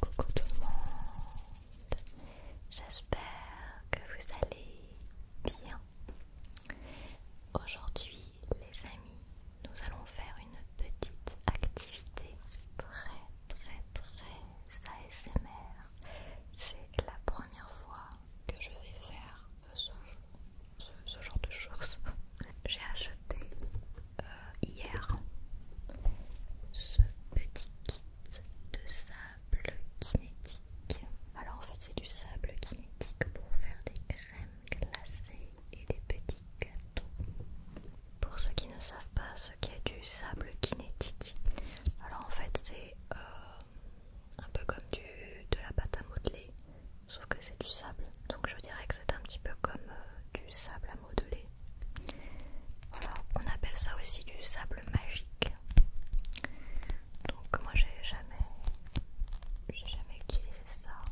Coucou tout le monde, j'espère que vous allez bien. Aujourd'hui les amis, nous allons faire une petite activité très très très ASMR. C'est la première fois que je vais faire ce, ce genre de choses. J'ai acheté hier ce petit kit de sable kinétique. Alors en fait c'est du sable kinétique pour faire des crèmes glacées et des petits gâteaux. Pour ceux qui ne savent pas ce qu'est du sable kinétique, alors en fait c'est euh, un peu comme du, de la pâte à modeler, sauf que c'est du sable donc je dirais que c'est un petit peu comme euh, du sable à modeler. Voilà, on appelle ça aussi du sable magique. Donc moi j'ai jamais, j'ai jamais utilisé ça,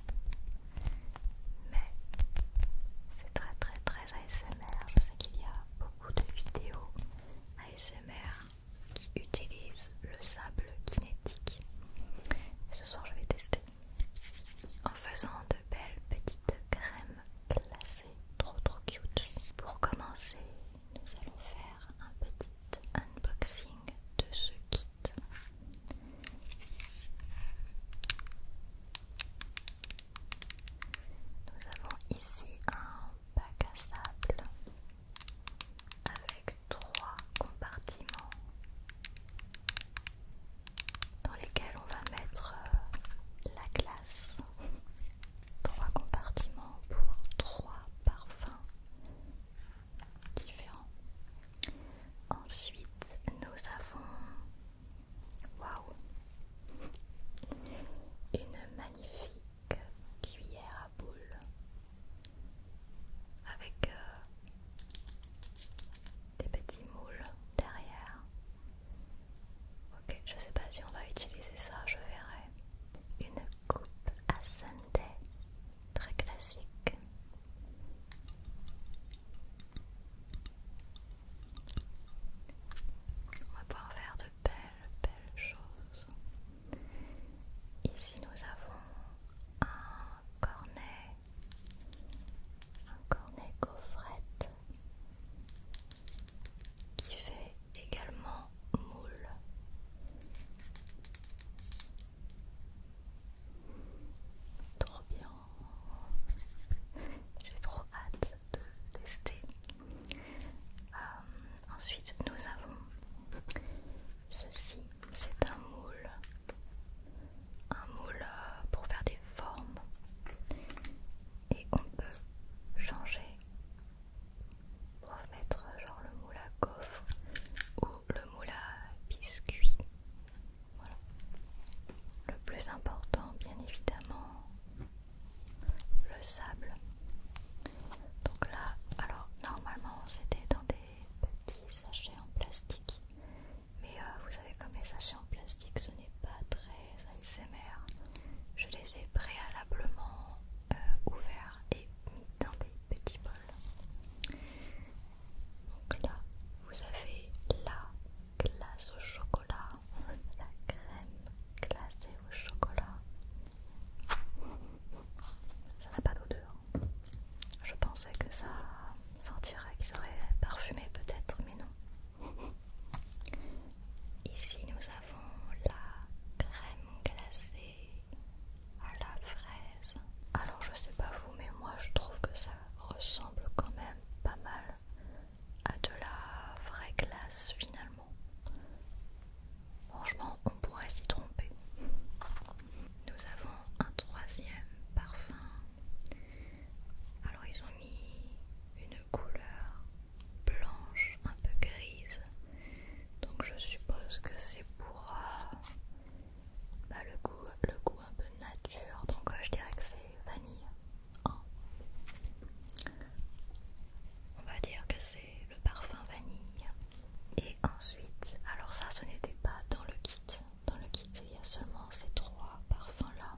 mais c'est très très très ASMR. Je sais qu'il y a beaucoup de vidéos ASMR qui utilisent le sable kinétique. Et ce soir je vais tester en faisant de belles petites crèmes glacées trop trop cute. Pour commencer, nous allons faire un petit unboxing de ce kit. Nous avons ici un bac à sable avec trois compartiments dans lesquels on va mettre euh, la glace. Trois compartiments pour trois parfums différents. Ensuite, nous avons waouh une magnifique cuillère à boules avec euh, des petits moules derrière. Ok, je sais pas si on va utiliser ça, je verrai. Une coupe à sundae, très classique. On va pouvoir faire de belles, belles choses. Ici, nous avons un cornet un cornet gaufrette qui fait également moule. Trop bien. J'ai trop hâte de tester. Euh, ensuite, nous avons ceci. C'est un moule un moule euh, pour faire des formes et on peut changer pour mettre euh, genre le moule à coffre ou le moule à biscuit. Voilà. Le plus important, bien évidemment, le sable. Donc là, alors normalement c'était dans des petits sachets en plastique mais euh, vous savez comme les sachets en plastique ce n'est pas très ASMR je les ai préalablement euh, ouverts et mis dans des petits bols donc là vous avez la glace au chocolat la crème glacée au chocolat ça n'a pas d'odeur je pensais que ça sentirait, qu'il serait parfumé peut-être, mais non. Ici nous avons la crème glacée à la fraise. Alors je sais pas vous, mais moi je trouve que ça ressemble quand même pas mal à de la vraie glace finalement. Franchement, on pourrait s'y tromper. Nous avons un troisième parfum alors ils ont mis une couleur blanche, un peu grise. Donc je suppose que c'est pour euh, bah, le, goût, le goût un peu nature. Donc euh, je dirais que c'est vanille. Hein. On va dire que c'est le parfum vanille. Et ensuite, alors ça ce n'était pas dans le kit. Dans le kit il y a seulement ces trois parfums là.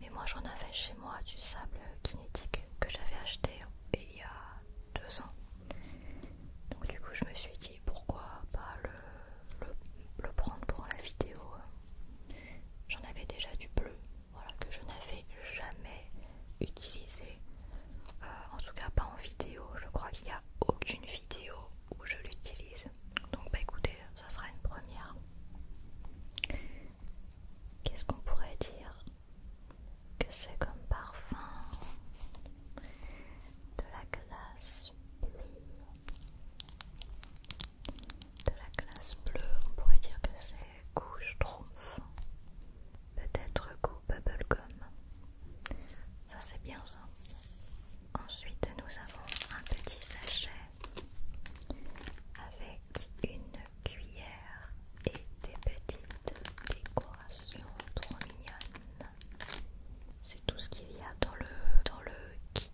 Mais moi j'en avais chez moi du sable kinétique que j'avais acheté il y a deux ans. Donc du coup je me suis dit pourquoi pas le, prendre pour la vidéo. J'en avais déjà du bleu, voilà, que je n'avais jamais utilisé. Euh, en tout cas pas en vidéo, je crois qu'il n'y a aucune vidéo où je l'utilise. Donc bah écoutez, ça sera une première. Qu'est-ce qu'on pourrait dire que c'est comme parfum de la glace bleue De la glace bleue, on pourrait dire que c'est couche trompe. Peut-être goût bubblegum. Ça c'est bien ça. Ensuite nous avons un petit sachet avec une cuillère et des petites décorations trop mignonnes. C'est tout ce qu'il y a dans le, dans le kit.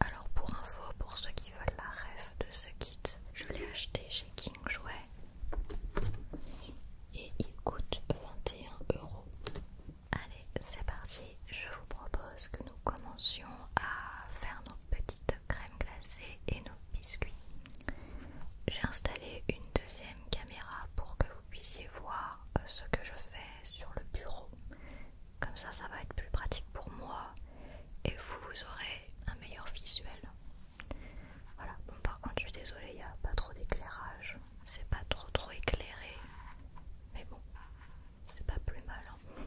Alors pour info, pour ceux qui veulent la ref de ce kit, je l'ai acheté chez King Jouet et il coûte 21 euros. Allez, c'est parti. Je vous propose que nous commencions à faire nos petites crèmes glacées et nos biscuits. J'ai installé une deuxième caméra pour que vous puissiez voir euh, ce que je fais sur le bureau. Comme ça, ça va être plus pratique pour moi et vous, vous aurez un meilleur visuel. Voilà, bon par contre je suis désolée, il n'y a pas trop d'éclairage, c'est pas trop trop éclairé, mais bon, c'est pas plus mal. Hein.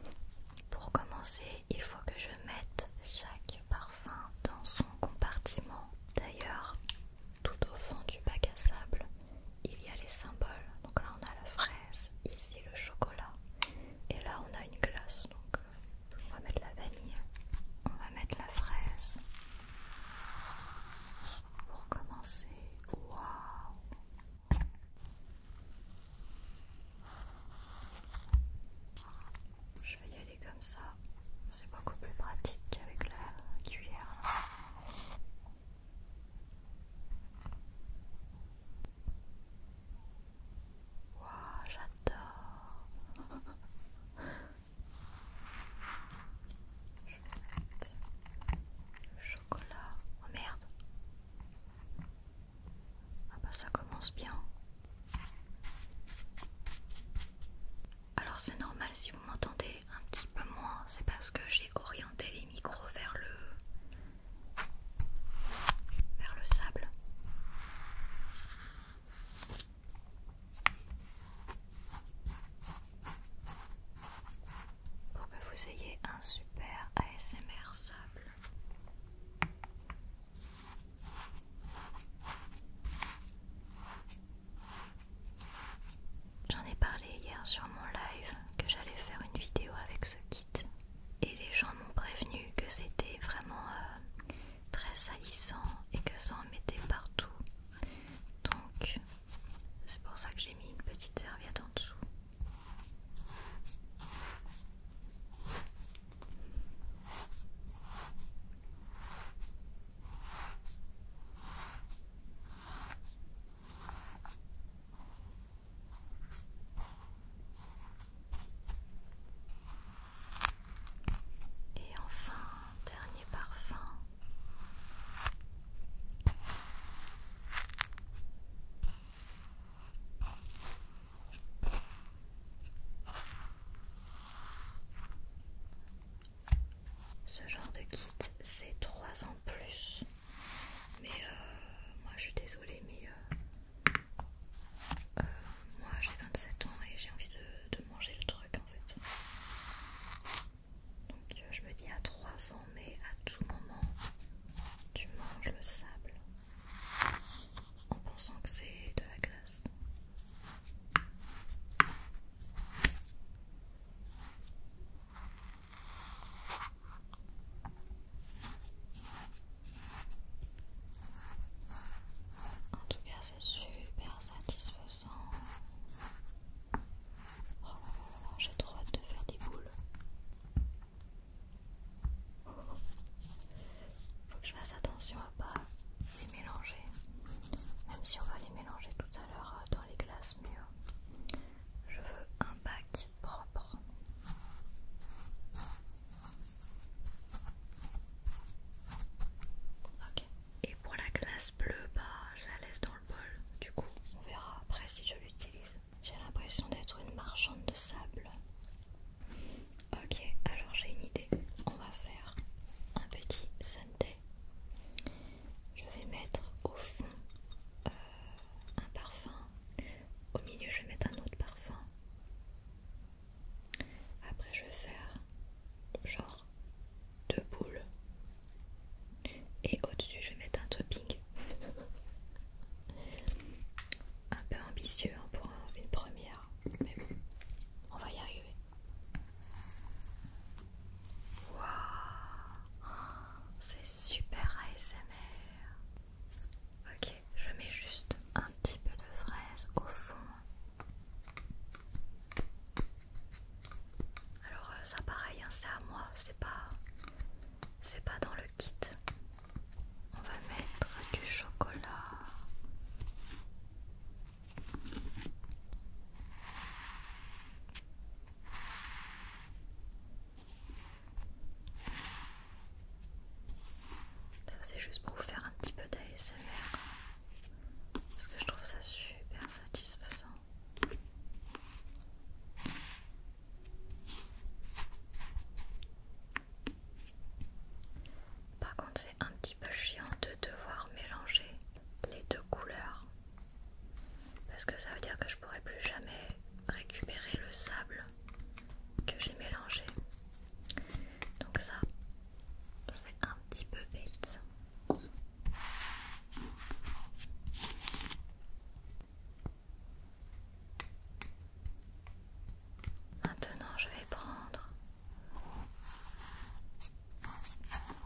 Pour commencer, il faut que je mette chaque parfum dans son compartiment. D'ailleurs, tout au fond du bac à sable, il y a les symboles. Donc là, on a la fraise, ici le chocolat, et là, on a une glace. Donc, on va mettre la vanille, on va mettre la fraise. Pour commencer, waouh, je vais y aller comme ça, c'est beaucoup plus pratique qu'avec la cuillère. j'adore. Je vais mettre le chocolat. Oh merde, ah bah ça commence bien. Alors c'est normal si vous m'entendez un petit peu moins, c'est parce que j'ai orienté les micros vers le vers le sable pour que vous ayez un super ASMR sable. J'en ai parlé hier sur mon live que j'allais faire une vidéo avec ce kit et les gens m'ont prévenu que c'était vraiment euh, très salissant et que ça en mettait partout. Donc c'est pour ça que j'ai mis une petite serviette en dessous. Et enfin, dernier parfum. Ce genre de kit, c'est 3 ans plus. Mais euh, moi je suis désolée, mais euh, euh, moi j'ai 27 ans et j'ai envie de, de manger le truc en fait. Donc je me dis à 3 ans, mais à tout moment, tu manges le sable en pensant que c'est de la glace. En tout cas, c'est super satisfaisant. Oh là là là, j'ai trop hâte de faire des boules. Faut que je fasse attention à pas les mélanger, même si on va les mélanger tout à l'heure euh, dans les glaces, mais euh, je veux un bac propre. Ok. Et pour la glace bleue, bah, je la laisse dans le bol. Du coup, on verra après si je l'utilise. J'ai l'impression d'être une marchande de sable. Ok, alors j'ai une idée. On va faire un petit sundae. Je vais mettre au fond euh, un parfum. Au milieu, je vais mettre un autre parfum. Après, je vais faire genre deux boules et au-dessus je vais mettre un topping un peu ambitieux hein, pour une première mais bon on va y arriver c'est super ASMR ok je mets juste un petit peu de fraise au fond alors euh, ça pareil hein, c'est à moi c'est pas c'est pas dans le on va mettre du chocolat. Ça c'est juste pour vous faire un petit peu d'ASMR parce que je trouve ça super satisfaisant. Par contre, c'est un petit peu chiant de devoir mélanger les deux couleurs parce que ça veut dire que je pourrais plus jamais récupérer le sable que j'ai mélangé. Donc ça, c'est un petit peu bête. Maintenant, je vais prendre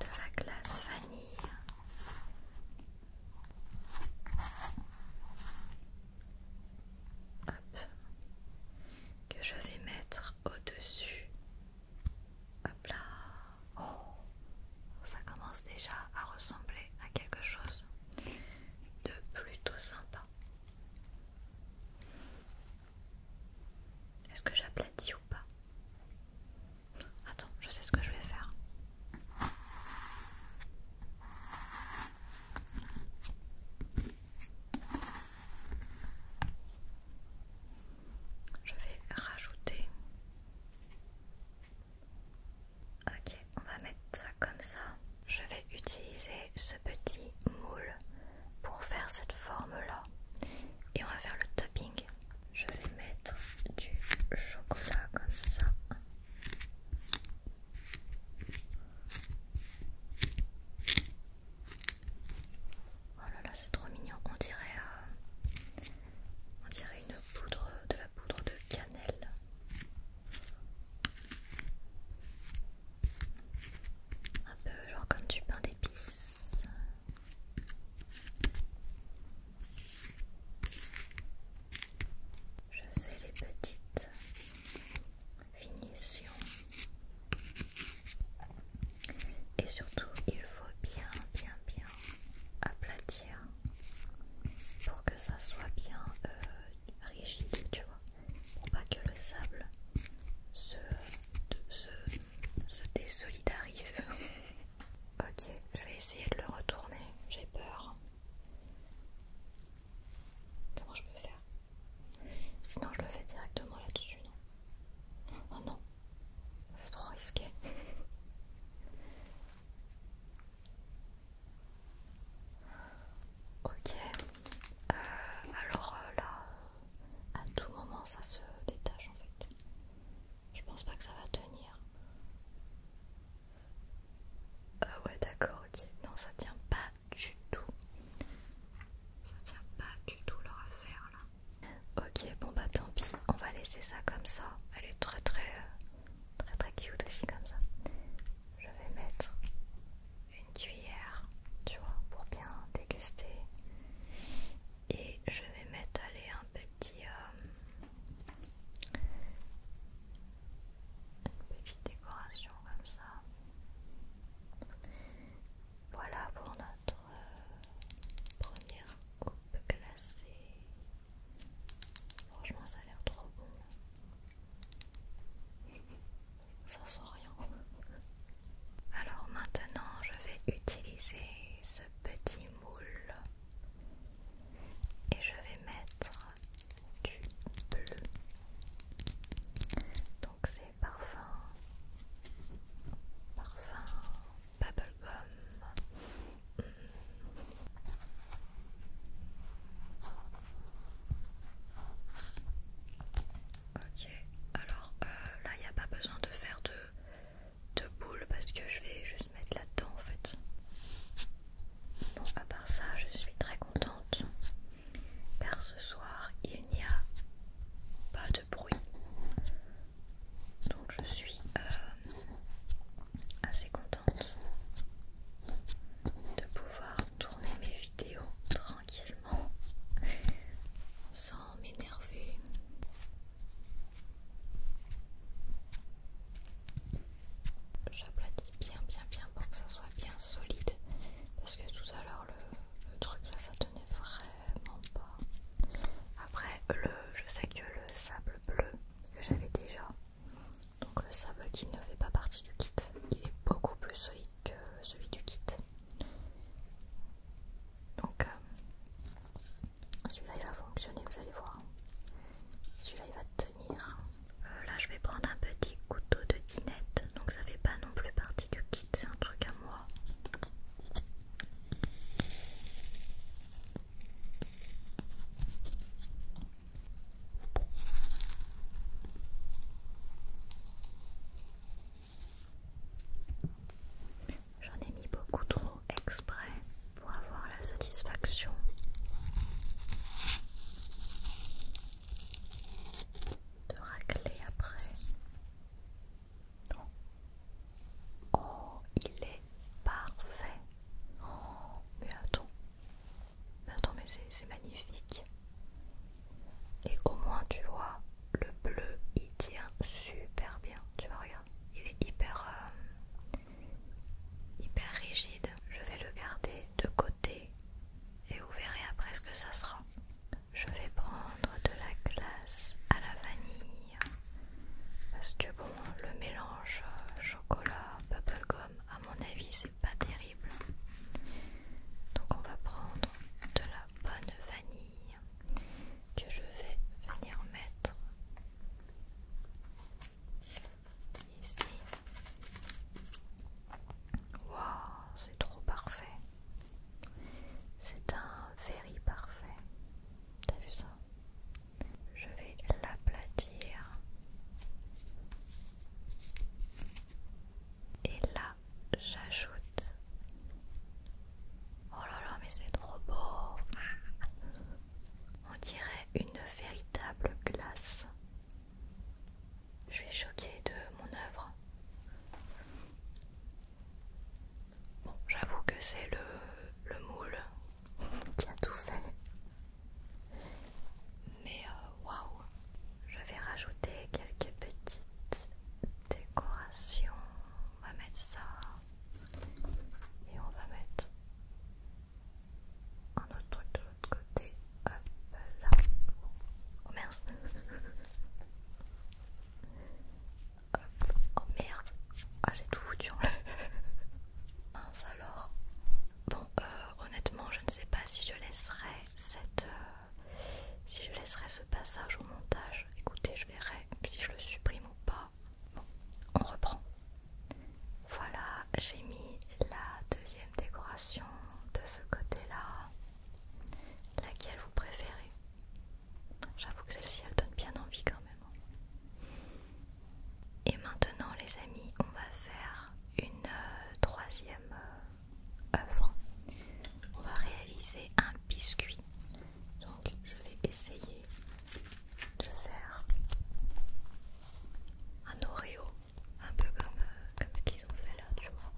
de la glace vanille. Que je vais mettre au-dessus. Hop là. Oh, ça commence déjà à ressembler à quelque chose de plutôt sympa. Est-ce que j'aplatis ou pas Attends, je sais ce que je vais faire. Je vais rajouter Ok, on va mettre ça comme ça. Je vais utiliser ce petit moule pour faire cette forme-là. Et on va faire le topping. Je vais mettre du chocolat comme ça. Oh là là, c'est trop mignon. On dirait, euh, on dirait une poudre, de la poudre de cannelle. Un peu genre comme du pain d'épices. Je fais les petites finitions. Et surtout, il faut bien, bien, bien aplatir pour que ça soit bien euh, rigide, tu vois, pour pas que le sable se, se désolidarise. ok, je vais essayer de le retourner, j'ai peur. Comment je peux faire Sinon je le fais directement là-dessus, non Ah non, c'est trop risqué. Ok, euh, alors euh, là, à tout moment ça se détache en fait. Je pense pas que ça va tenir. Ah ouais, d'accord, ok. Non, ça tient pas du tout. Ça tient pas du tout leur affaire là. Ok, bon bah tant pis, on va laisser ça comme ça. Elle est très très Très très cute aussi comme ça. Je vais mettre une cuillère, tu vois, pour bien déguster. Et je vais mettre aller un petit... Euh, une petite décoration comme ça. Voilà pour notre euh, première coupe glacée. Franchement, ça a l'air trop bon. Ça sent rien. Alors maintenant, je vais utiliser ce petit moule et je vais mettre du bleu. Donc c'est parfum, parfum bubblegum Ok, alors euh, là il n'y a pas besoin de faire de, de boules parce que je vais juste mettre là-dedans en fait. Bon, à part ça, je suis très contente car ce soir il n'y a pas de bruit donc je suis euh, euh, assez contente de pouvoir tourner mes vidéos tranquillement sans m'énerver. J'aplatis bien bien bien pour que ça soit bien solide parce que tout à l'heure le, le truc là ça tenait vraiment pas. Après le, je sais que le sable bleu que j'avais déjà donc le sable qui ne fait pas partie du kit, il est beaucoup plus solide que celui du kit. Donc euh, celui-là il va fonctionner, vous allez voir. Celui-là il va tenir. Euh, là je vais prendre un petit couteau de dinette, donc ça fait pas non plus partie du kit, c'est un truc à moi. J'en ai mis beaucoup trop exprès pour avoir la satisfaction de racler après. Oh, il est parfait. Oh, mais attends, mais c'est magnifique. Et au moins, tu vois, le bleu il tient super bien. Tu vois, regarde, il est hyper, euh, hyper rigide. Je vais le garder de côté et vous verrez après ce que ça sera. Je vais prendre de la glace à la vanille parce que, bon, le mélange euh, chocolat, bubblegum à mon avis, c'est pas terrible. Donc, on va prendre de la bonne vanille que je vais venir mettre ici. Waouh, c'est trop parfait! C'est un very parfait. T'as vu ça? Je vais l'aplatir. Et là, j'ajoute. Oh là là, mais c'est trop beau. On dirait une véritable glace. Je suis choquée de mon œuvre. Bon, j'avoue que c'est le, le moule qui a tout fait. Mais euh, waouh, je vais rajouter quelques petites décorations. On va mettre ça et on va mettre un autre truc de l'autre côté. Hop là. Oh merde. Hop. Oh merde. Ah, j'ai tout foutu en l'air. Ça Bon, euh, honnêtement, je ne sais pas si je laisserai cette, euh, si je laisserai ce passage au montage. Écoutez, je verrai si je le supprime ou pas. Bon, on reprend. Voilà, j'ai mis la deuxième décoration de ce côté-là. Laquelle vous préférez J'avoue que celle-ci, elle donne bien envie quand même. Et maintenant les amis, on va faire une euh, troisième euh, œuvre. On va réaliser un biscuit. Donc je vais essayer de faire un Oreo, un peu comme, euh, comme ce qu'ils ont fait là, tu vois.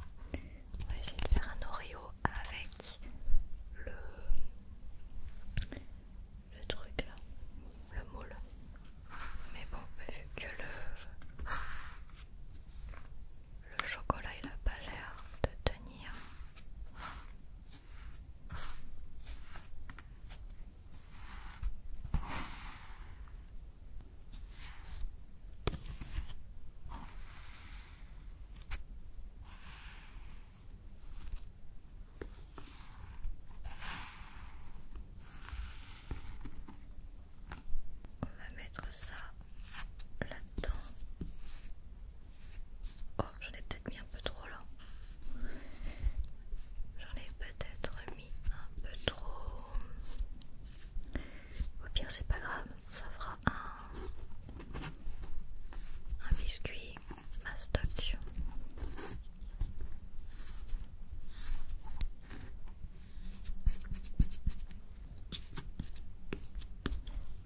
On va essayer de faire un Oreo avec le le truc là, le moule. Mais bon, vu bah, que le, chocolat il a pas l'air de tenir. On va mettre ça là-dedans. Oh, j'en ai peut-être mis un peu trop là. J'en ai peut-être mis un peu trop. Au pire, c'est pas grave, ça fera un, un biscuit mastoc.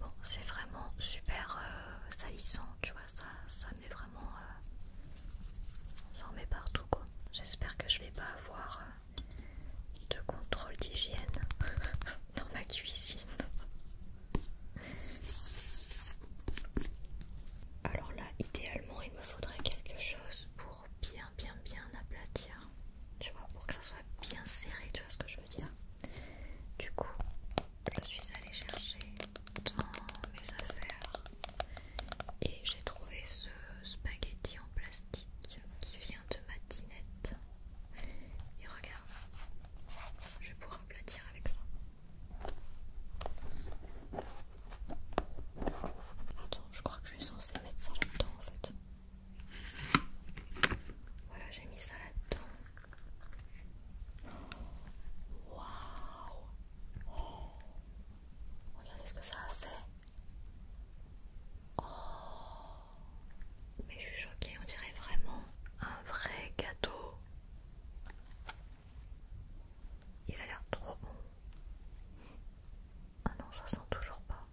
Bon, c'est vraiment super euh, salissant, tu vois, ça, ça met vraiment... Euh, ça en met partout, quoi. J'espère que je vais pas avoir euh, de contrôle d'hygiène dans ma cuisine. Alors là, idéalement, il me faudrait quelque chose pour bien, bien, bien aplatir. Tu vois, pour que ça soit bien serré, tu vois ce que je veux dire. Du coup, je suis allée chercher dans mes affaires et j'ai trouvé ce spaghetti en plastique qui vient de ma dinette. Et regarde, je vais pouvoir aplatir avec ça. Attends, je crois que je suis censée mettre ça là-dedans en fait. Voilà, j'ai mis ça là-dedans. Waouh! Regardez ce que ça a fait. Oh. Mais je suis choquée, on dirait vraiment un vrai gâteau. Il a l'air trop bon. Ah non, ça sent toujours pas.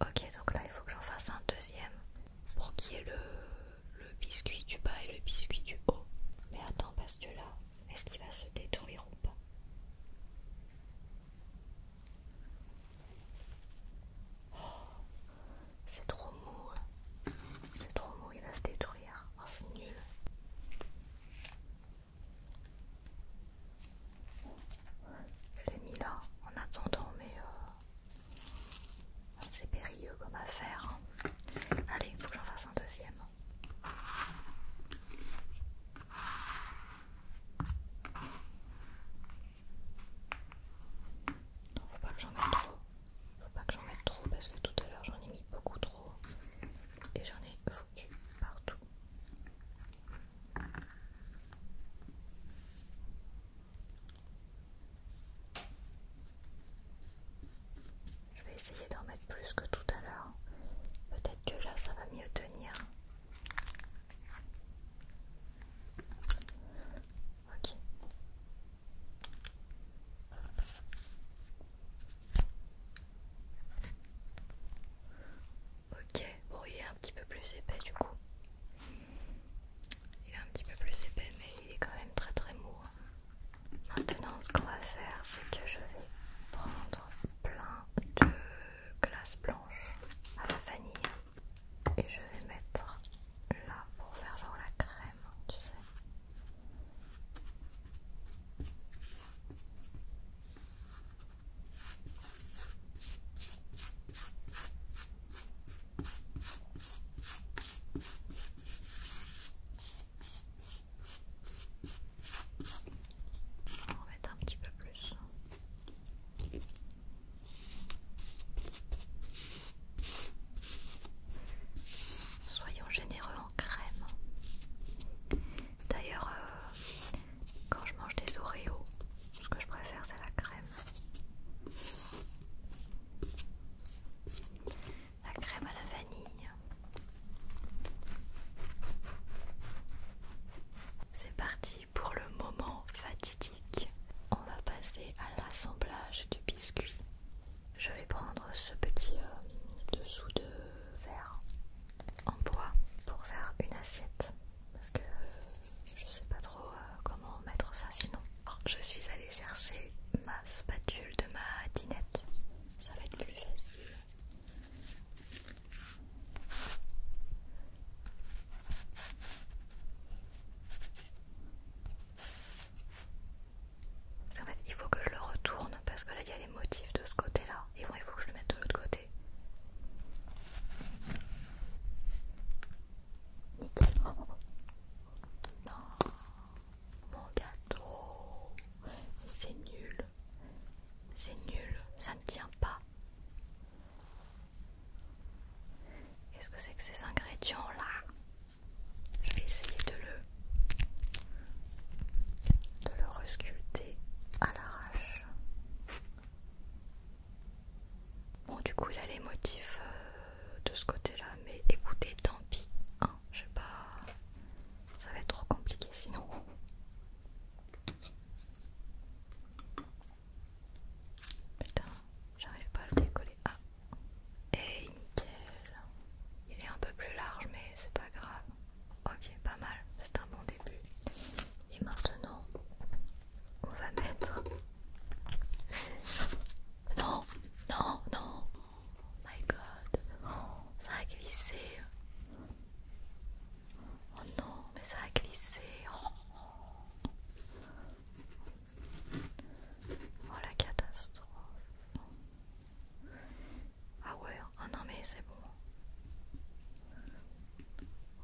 ok, donc là il faut que j'en fasse un deuxième pour qu'il y ait le, le biscuit du bas et le biscuit du haut. Mais attends, parce que là, est-ce qu'il va se détruire ou pas Oh, c'est trop mou. Hein. C'est trop mou, il va se détruire. Oh, c'est nul. Je l'ai mis là en attendant, mais euh, c'est périlleux comme affaire. Hein. Allez, il faut que j'en fasse un deuxième faut pas que j'en mette trop. Faut pas que j'en mette trop parce que tout à l'heure j'en ai mis beaucoup trop et j'en ai foutu partout. Je vais essayer d'en mettre plus que tout à l'heure. Peut-être que là ça va mieux tenir. Ok. Ok, bon il est un petit peu plus épais du coup. Il est un petit peu plus épais mais il est quand même très très mou. Hein. Maintenant ce qu'on va faire c'est que je vais prendre plein de glace blanche à la vanille et je vais mettre là pour faire genre la crème, tu sais. On mettre un petit peu plus. Soyons généreux en crème. D'ailleurs, euh, quand je mange des Oreos, ce que je préfère, c'est la crème. La crème à la vanille. C'est parti pour le moment fatidique. On va passer à l'assemblage du biscuit. Je vais prendre ce petit euh, dessous de verre en bois pour faire une assiette parce que euh, je sais pas trop euh, comment mettre ça sinon. je suis allée chercher ma spatule de ma dinette. Ça va être plus facile. Parce qu'en fait, il faut que je le retourne parce que là, il y a les motifs de ce côté-là. Et bon, il faut que je le mette de l'autre côté. Non, mon gâteau, c'est nul. C'est nul, ça ne tient pas. Qu'est-ce que c'est que ces ingrédients là Je vais essayer de le de le resculpter à l'arrache. Bon du coup il a les motifs euh, de ce côté-là, mais écoutez, tant pis. Hein, je sais pas. Ça va être trop compliqué sinon. Putain, j'arrive pas à le décoller. Ah, et eh, nickel. Il est un peu plus large, mais c'est pas grave. Ok, pas mal, c'est un bon début. Et maintenant, on va mettre. Non, non, non. Oh my god, oh, ça a glissé. Oh non, mais ça a glissé. Oh, oh la catastrophe. Ah ouais, hein. ah non mais c'est bon.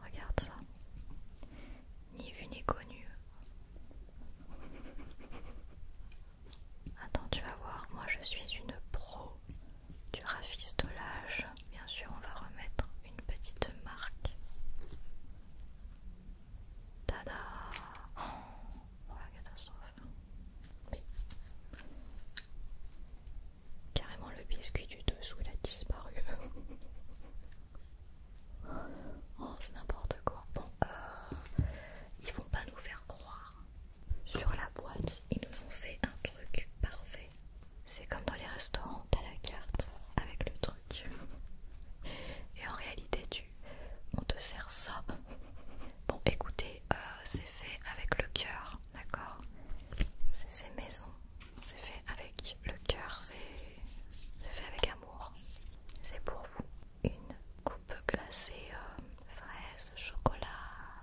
Regarde ça. Ni vu ni connu. Attends, tu vas voir, moi je suis une pro du rafistolage. Bien sûr, on va remettre une petite marque. Tada Oh la catastrophe Carrément le biscuit du dessous il a disparu. oh c'est n'importe quoi. Bon euh, ils vont pas nous faire croire. Sur la boîte, ils nous ont fait un truc parfait. C'est comme dans les restaurants, t'as la carte avec le truc. Et en réalité, tu, on te sert ça. Bon, écoutez, euh, c'est fait avec le cœur, d'accord C'est fait maison, c'est fait avec le cœur, c'est fait avec amour. C'est pour vous. Une coupe glacée, euh, fraise, chocolat,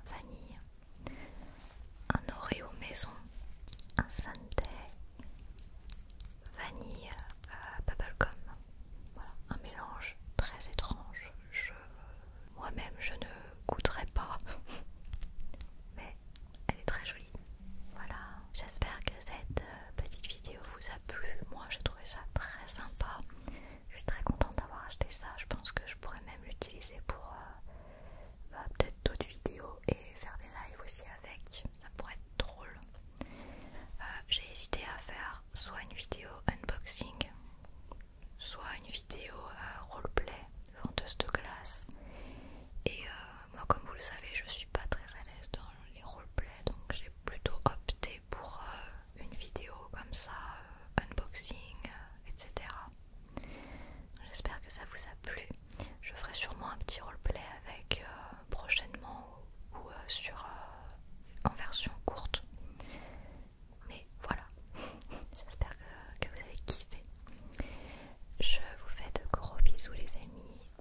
vanille un Oreo maison, un Sunday, vanille, euh, bubblegum. Voilà, un mélange très étrange. Moi-même, je ne goûterai pas, mais elle est très jolie. Voilà, j'espère que cette euh, petite vidéo vous a plu. Moi, j'ai trouvé ça très sympa. Je suis très contente d'avoir acheté ça. Je pense que je pourrais même l'utiliser pour euh, bah, peut-être d'autres vidéos et faire des lives aussi avec, ça pourrait être drôle. Euh, j'ai hésité à faire soit une vidéo unboxing, soit une vidéo euh, roleplay, vendeuse de glace. Et euh, moi, comme vous le savez, je suis pas très à l'aise dans les roleplays donc j'ai plutôt opté pour une vidéo comme ça, unboxing, etc. J'espère que ça vous a plu. Je ferai sûrement un petit roleplay avec euh, prochainement ou, euh, sur, euh, en version courte. Mais voilà, j'espère que, vous avez kiffé. Je vous fais de gros bisous les amis.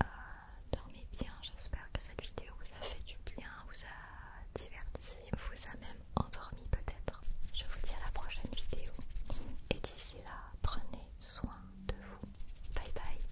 dormez bien, j'espère que cette vidéo vous a fait du bien, vous a diverti, vous a même endormi peut-être. Je vous dis à la prochaine vidéo c'est là, prenez soin de vous. Bye bye.